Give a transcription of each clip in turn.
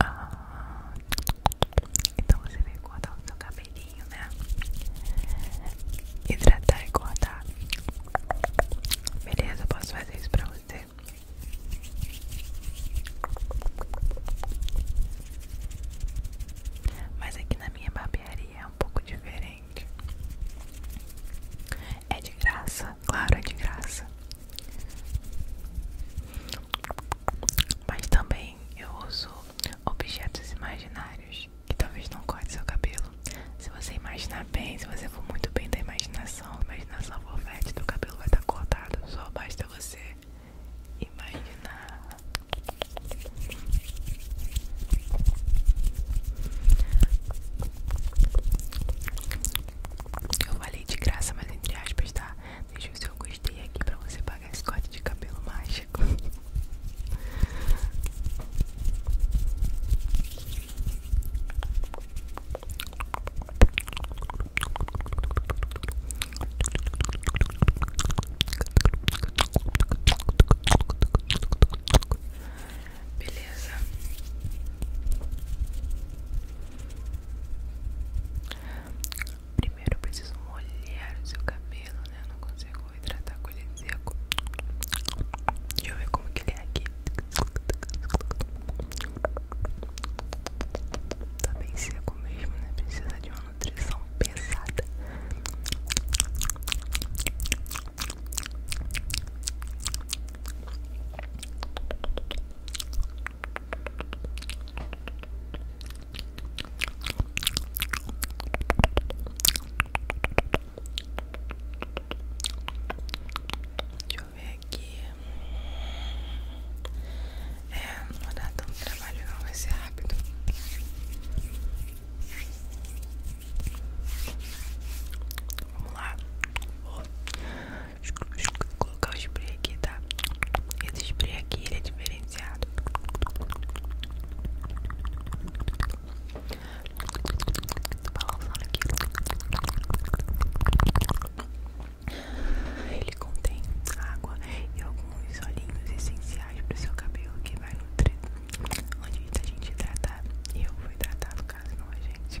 Ah, então você vem cortar o seu cabelinho, né? Hidratar e cortar. Beleza, posso fazer isso pra você? Mas aqui na minha barbearia é um pouco diferente. É de graça, claro, é de graça. Mas também eu uso objetos imaginários que talvez não cortem seu cabelo. Se você imaginar bem, se você for muito bem da imaginação, imaginação forfete, teu cabelo vai estar cortado. Só basta você imaginar. Eu falei de graça, mas entre aspas, tá? Deixa o seu gostei aqui pra você pagar esse corte de cabelo mágico. Beleza. Primeiro eu preciso molhar o seu cabelo, né? não consigo hidratar com ele seco. Deixa eu ver como que ele é aqui. Tá bem seco mesmo, né? Precisa de uma nutrição pesada. Deixa eu ver aqui. É, não vai dar tanto trabalho não, vai ser rápido. Vamos lá. Colocar o spray aqui, tá? Esse spray aqui ele é diferenciado. Tô balançando aqui. Ele contém água e alguns olhinhos essenciais para o seu cabelo que vai nutrir antes da gente tratar Eu fui tratado no caso, não a gente.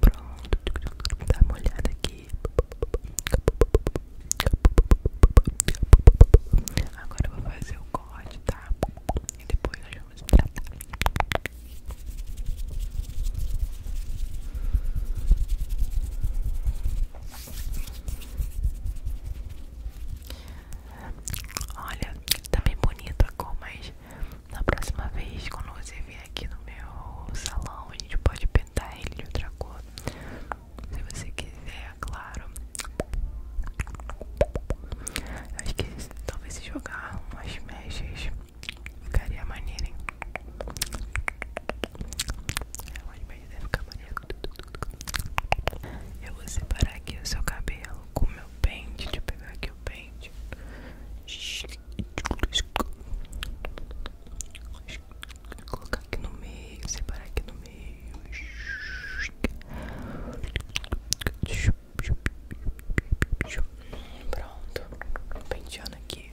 Pronto, dá uma aqui. Agora eu vou fazer o corte, tá? E depois nós vamos tratar. Olha, tá bem bonito a cor, mas na próxima vez, quando você vier aqui no meu salão, a gente pode pintar ele de outra cor. Se você quiser, claro. acho que talvez se jogar umas mechas ficaria maneiro, hein? É, umas mechas deve ficar maneiro. Eu vou separar aqui o seu cabelo com o meu pente. Deixa eu pegar aqui o pente gente. Vou aqui no meio, separar aqui no meio. Pronto, penteando aqui.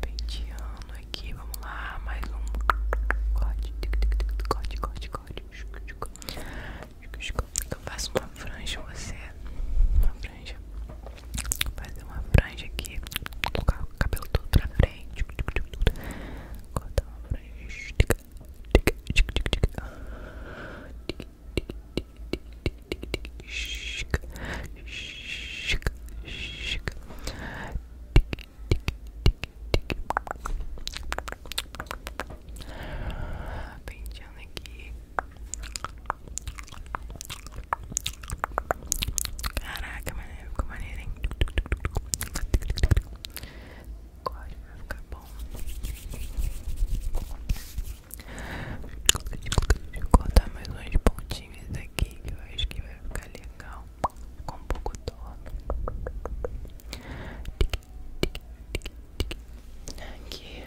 Penteando aqui, vamos lá, mais um corte, corte, corte, corte. Eu faço uma franja você, uma franja, fazer uma franja aqui, colocar o cabelo todo pra frente, cortar uma franja, Penteando aqui. Caraca, maneiro, ficou maneiro, hein? agora vai ficar bom Vou cortar mais uns pontinhos aqui que eu acho que vai ficar legal com um pouco torno aqui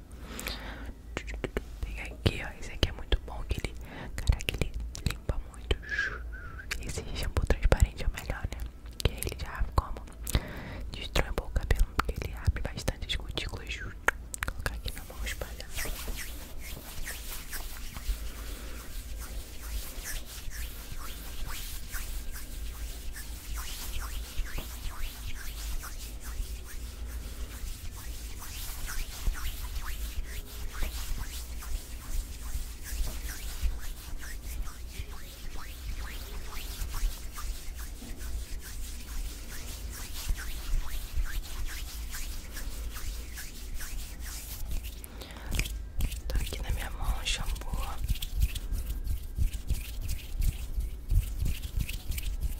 Pega aqui, ó. Esse aqui é muito bom. Que ele, caraca, ele limpa muito. Esse shampoo transparente é o melhor, né? Que ele já como destrói um pouco o cabelo. Porque ele abre bastante as cutículas. Vou colocar aqui na mão espalhar. Tô aqui na minha mão, shampoo.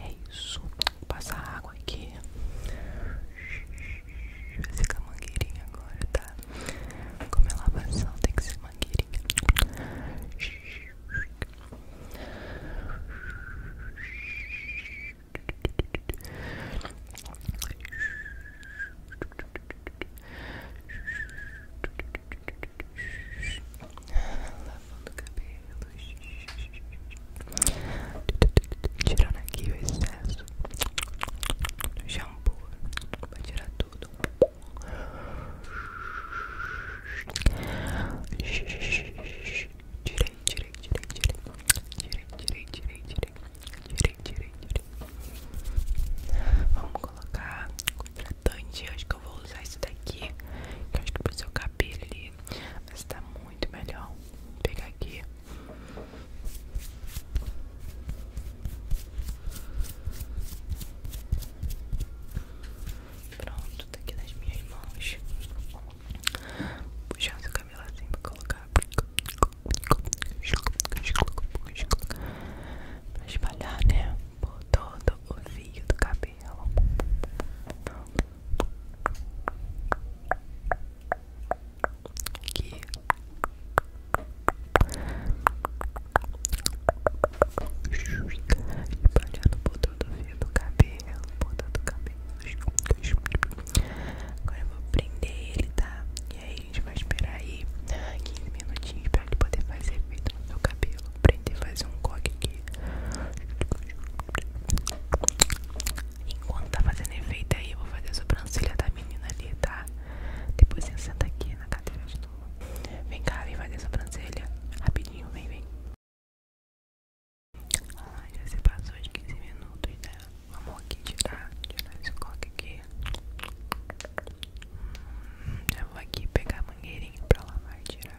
É isso, passar água aqui. Vai ficar mangueirinha agora, tá? Como é lavação, tem que ser mangueirinha. Lavando o cabelo, tirando aqui o excesso do shampoo, pra tirar tudo. Tirei, tirei, tirei, tirei. Tirei, tirei, tirei, tirei. Tirei, tirei, Vamos colocar contratante. Acho que eu vou usar esse daqui. Que acho que para o seu cabelo ali. Mas tá muito melhor. Vou pegar aqui. Vou Pronto, tá aqui nas minhas mãos. Puxando seu cabelo assim pra colocar. Pra espalhar, né? Por todo o fio do cabelo. Aqui. Espalhando por todo o fio do cabelo, por todo o cabelo. Agora eu vou prender ele, tá? E aí a gente vai esperar aí 15 né, minutinhos pra ele poder fazer efeito no meu cabelo. Prender fazer um coque aqui. Enquanto tá fazendo efeito aí, eu vou fazer a sobrancelha da menina ali, tá? Depois você senta aqui na cadeira de Vem cá, vem fazer essa brancelha Rapidinho, vem, vem. Ah, já se passou de 15 minutos, né? Vamos aqui tirar, tirar esse coque aqui. Hum, já vou aqui pegar a mangueirinha pra lavar e tirar.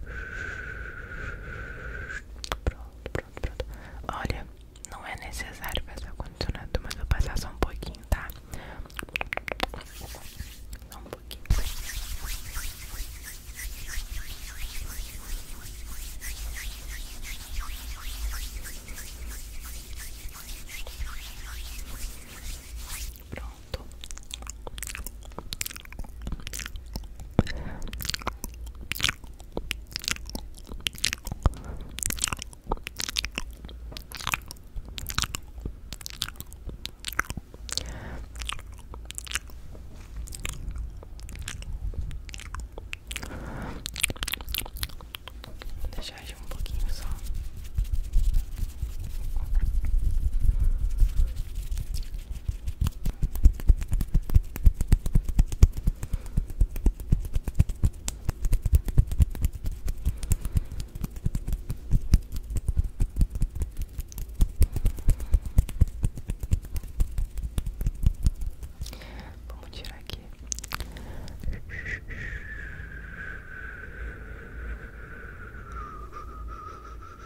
Pronto, pronto, pronto. Olha, não é necessário passar condicionado mas vou passar só um pouquinho, tá? Só um pouquinho. Pronto pronto. Deixa eu um pouquinho só. Vamos tirar aqui.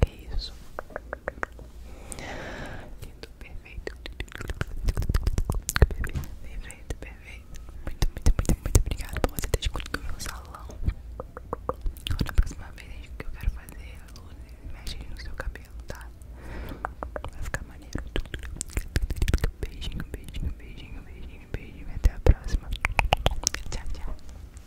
Que é isso? Lindo, perfeito. Muito, muito, muito, muito obrigado por você ter escolhido o meu salão. Agora, na próxima vez que eu quero fazer luzes, mexe no seu cabelo, tá? Vai ficar maneiro. Beijinho, beijinho, beijinho, beijinho, beijinho. Até a próxima. Tchau, tchau.